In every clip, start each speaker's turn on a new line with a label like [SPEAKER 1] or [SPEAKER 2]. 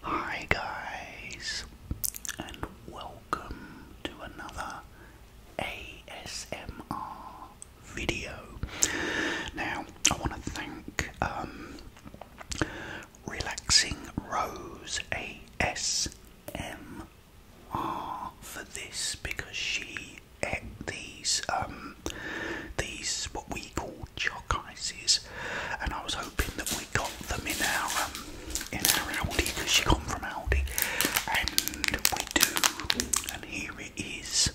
[SPEAKER 1] Hi guys, and welcome to another ASMR video. Now, I want to thank um, Relaxing Rose ASMR for this because she ate these um, these what we call chalk ices and I was hoping that we got them in our um, in our Aldi because she come from Aldi, and we do. And here it is,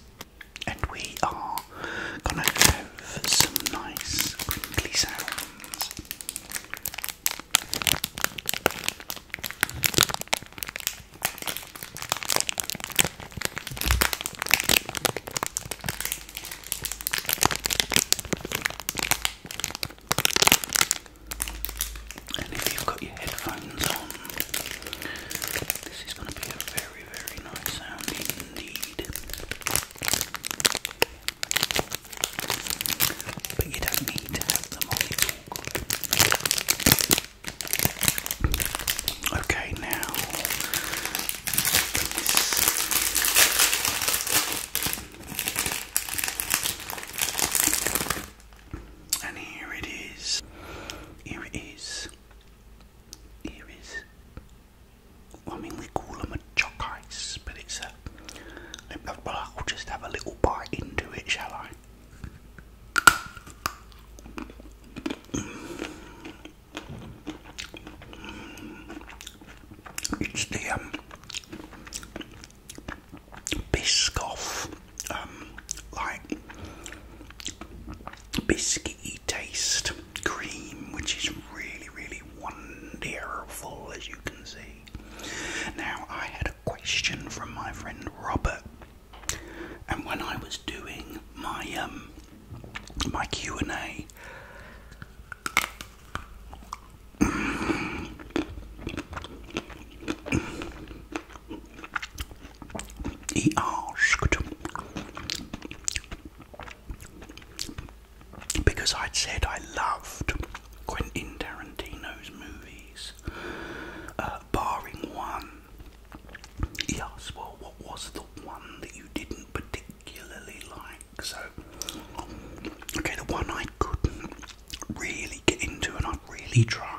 [SPEAKER 1] and we are gonna have some nice crinkly sounds. And if you've got your headphones on, this is going to be a very, very nice sound indeed. But you don't need to have them on Okay, now and here it is. Here it is. Here it is. I mean, we call them a choc ice, but it's a. Well, I'll just have a little bite into it, shall I? It's the um, Biscoff, um, like biscuity taste cream, which is really, really wonderful, as you can see. Now, I had a question from my friend Robert, and when I was doing my um, my Q and A. I asked because I'd said I loved Quentin Tarantino's movies, uh, barring one. He asked, Well, what was the one that you didn't particularly like? So, okay, the one I couldn't really get into and I've really tried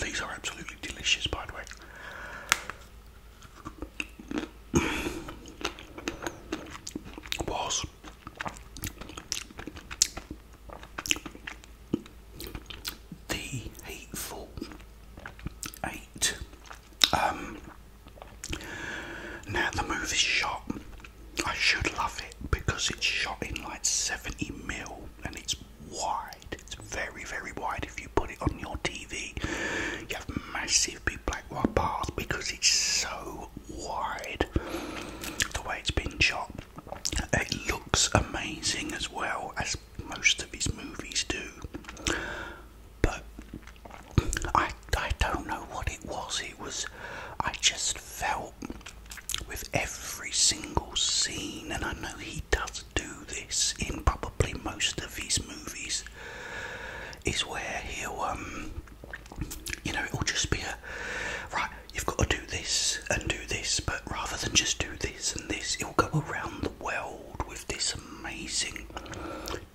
[SPEAKER 1] these are absolutely delicious by the way was the Hateful Eight. Um, now the movie's shot. I should love it because it's shot in like 70 mil and it's wide. It's very, very wide. If you put it on your TV, you have massive big black white bars because it's so wide. The way it's been shot, it looks amazing as well as most of his movies do. But I, I don't know what it was. It was, I just felt with every single scene, and I know he does do this in probably most of his movies, is where he um you know, it will just be a right, you've got to do this and do this, but rather than just do this and this, it'll go around the world with this amazing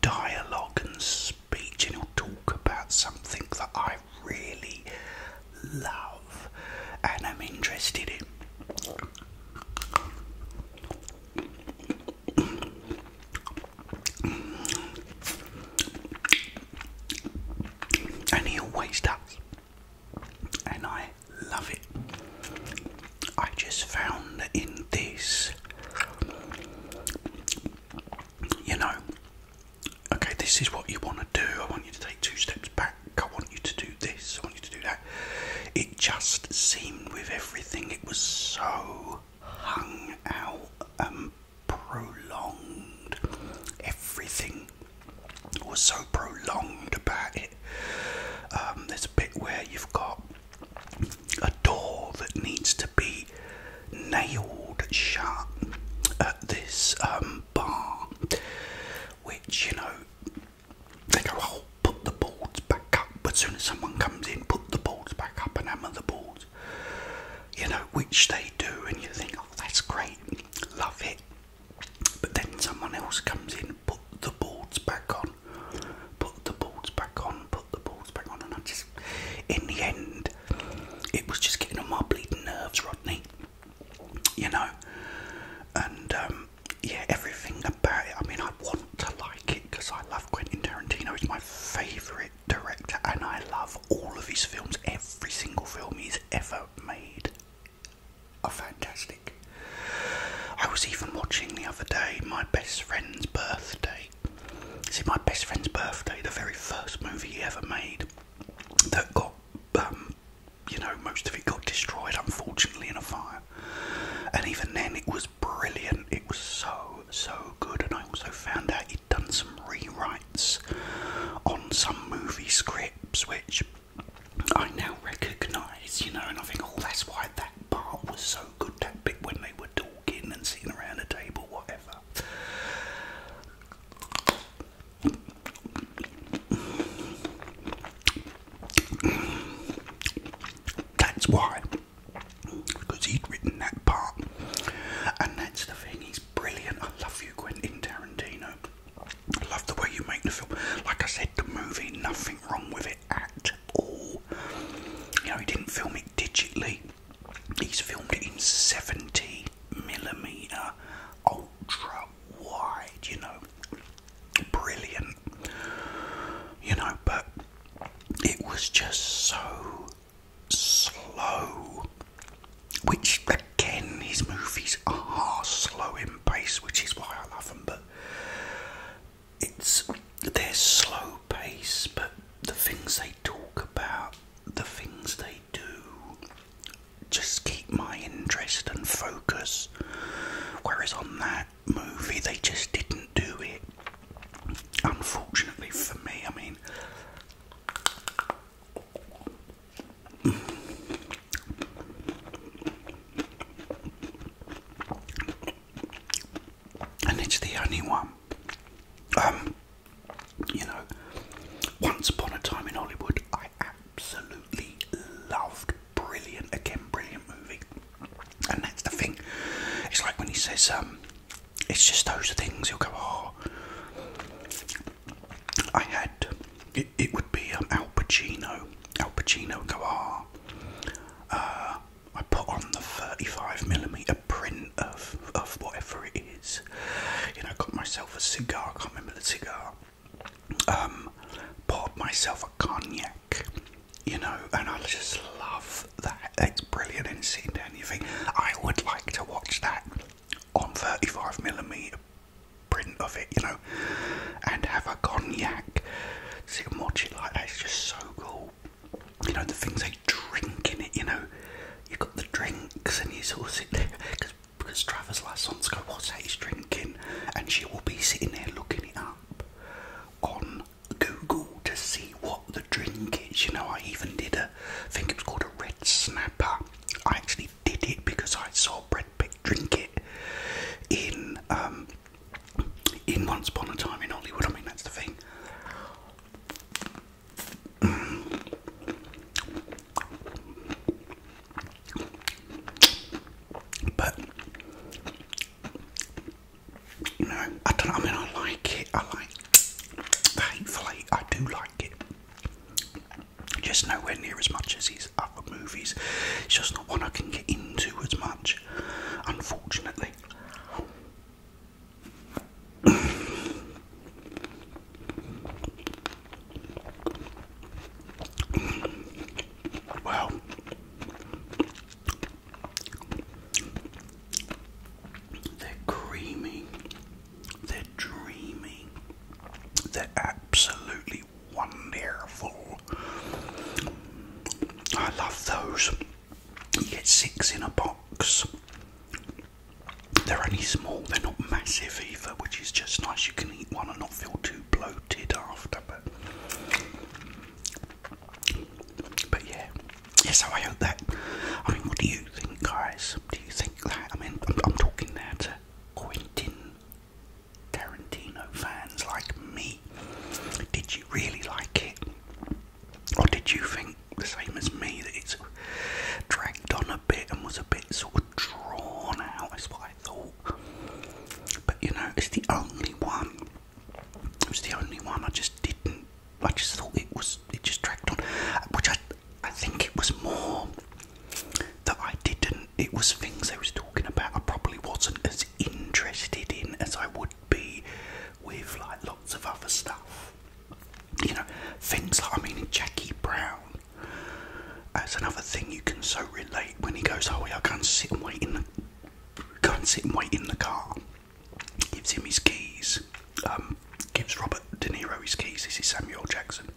[SPEAKER 1] dialogue and speech, and it'll talk about something that I really love and I'm interested in and he always does, and I love it. I just found that in this, you know, okay, this is what you want to do. I want you to take two steps back, I want you to do this, I want you to do that. It just seemed with everything, it was so hung out um, prolonged. Everything was so prolonged about it. Um, there's a bit where you've got a door that needs to be nailed shut at this um, bar, which you know they go, oh, put the boards back up. As soon as someone comes in, put the boards back up and I'm on the boards you know, which they do, and you think, oh, that's great, love it. But then someone else comes in, put the boards back on, put the boards back on, put the boards back on, and I just, in the end, it was just getting on my bleeding nerves, Rodney, you know, and um, yeah, everything about it. I mean, I want to like it because I love Quentin Tarantino, he's my favourite director, and I love all of his films. Every single film he's ever made are fantastic. I was even watching the other day my best friend's birthday. See, my best friend's birthday, the very first movie he ever made, that got, um, you know, most of it got destroyed, unfortunately, in a fire. And even then, it was brilliant. It was so, so good. And I also found out done some rewrites on some movie scripts, which I now recognise, you know, and I think, all oh, that's why that part was so good, that bit when they were talking and sitting around a table, whatever. That's why, because he'd written that part, and that's the thing, he brilliant. I love you, Quentin Tarantino. I love the way you make the film. Like I said, the movie, nothing wrong with it at all. You know, he didn't film it digitally. He's filmed it in 70 millimeter ultra wide, you know. Brilliant. You know, but it was just so slow, which again, his movies are slow in pace, which is why I love them. But it's their slow pace, but the things they talk about, the things they do, just keep my interest and focus. Whereas on that movie, they just didn't do it. Unfortunately for me, I mean, and it's the only one. Um, you know, once upon a time in Hollywood, I absolutely loved Brilliant again, brilliant movie. And that's the thing. It's like when he says, um, it's just those things you'll go, oh. I had, it, it would be um, Al Pacino. Al Pacino go, ah. Uh, I put on the 35 millimeter print of, of whatever it is. You know, got myself a cigar, I can't remember the cigar. Um, bought myself a cognac, you know, and I just love that. It's brilliant. And sitting down, you I would like to watch that on 35 millimetre print of it, you know, and have a cognac. See a it like that is just so cool. You know, the things they drink in it, you know, you got the drinks and you sort of sit there because because Travis last wants to go, what's that he's drinking? And she will be sitting there looking it up on Google to see what the drink is. You know, I even did it. I think it was called a red snapper. I actually did it because I saw Brad Pitt drink it in um, in Once Upon a Time in Hollywood. I mean, that's the thing. But you know, I don't. I mean, I like it. I like. Thankfully, I do like it. Just nowhere near as much as his other movies. It's just not one I can get into as much, unfortunately. well, they're creamy. They're dreamy. They're absolutely wonderful. I love those. You get six in a box. They're only small, they're not massive either, which is just nice. You can eat one and not feel too bloated after. But, yeah. Yeah, so I hope that. I mean, what do you think, guys? Do you think? I mean, I'm, talking now to Quentin Tarantino fans like me. Did you really like it? Or did you think, the same as me, that it's dragged on a bit and was a bit sort of drawn out? Is what I thought. But you know, it's the only one. It was the only one I just didn't I just thought it was it just dragged on, which I I think it was more that I didn't. It was things I was talking about. I probably wasn't as interested in as I would be with like lots of other stuff. You know, things I mean, Jackie Brown. That's another thing you can so relate when he goes, "Oh, yeah, can't sit and wait in the go and sit and wait in the car." Gives him his keys. Um, gives Robert De Niro his keys. This is Samuel Jackson.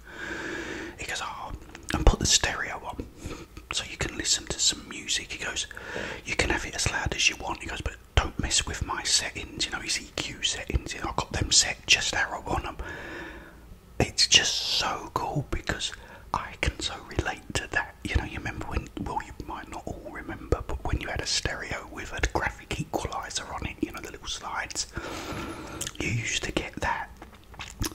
[SPEAKER 1] He goes, oh, and put the stereo on so you can listen to some music. He goes, you can have it as loud as you want. He goes, but don't mess with my settings. You know, his EQ settings. You I've got them set just how I want them. It's just so cool because I can so relate to that. You know, you remember when, well, you might not all remember, but when you had a stereo with a graphic equalizer on it you know, the little slides. You used to get that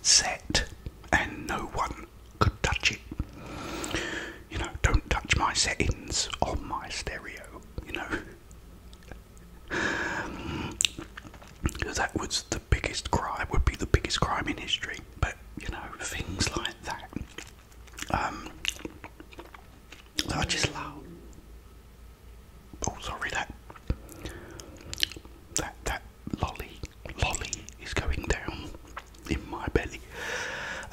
[SPEAKER 1] set and no one could touch it. You know, don't touch my settings on my stereo, you know. Because that was the biggest crime, would be the biggest crime in history. But, you know, things like that. Um, that is loud. Oh, sorry, that that that lolly lolly is going down in my belly.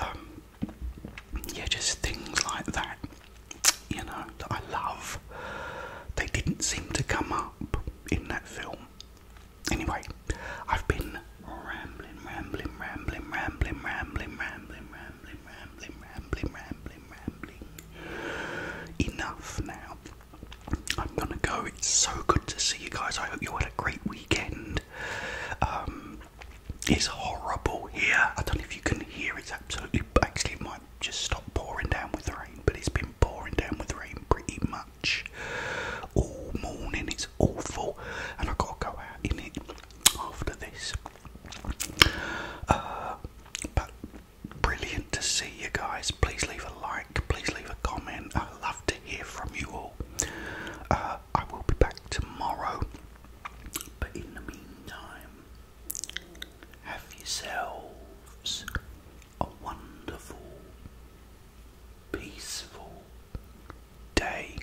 [SPEAKER 1] Um, yeah, just things like that, you know, I love. They didn't seem to come up in that film. Anyway, I've been rambling, rambling, rambling, rambling, rambling, rambling, rambling rambling, rambling, rambling, rambling, rambling. Enough now. I'm gonna go. It's so good to see you guys. I hope you had a great weekend. Um, it's horrible here. I don't know if you can hear. It's absolutely. Actually, it might just stop pouring down with rain, but it's been pouring down with rain pretty much all morning. It's awful, and I gotta go out in it after this. Uh, but brilliant to see you guys. Please leave a like, please leave a comment. I love to hear from you all. Uh, I will be back tomorrow, but in the meantime, have yourselves a wonderful, peaceful day.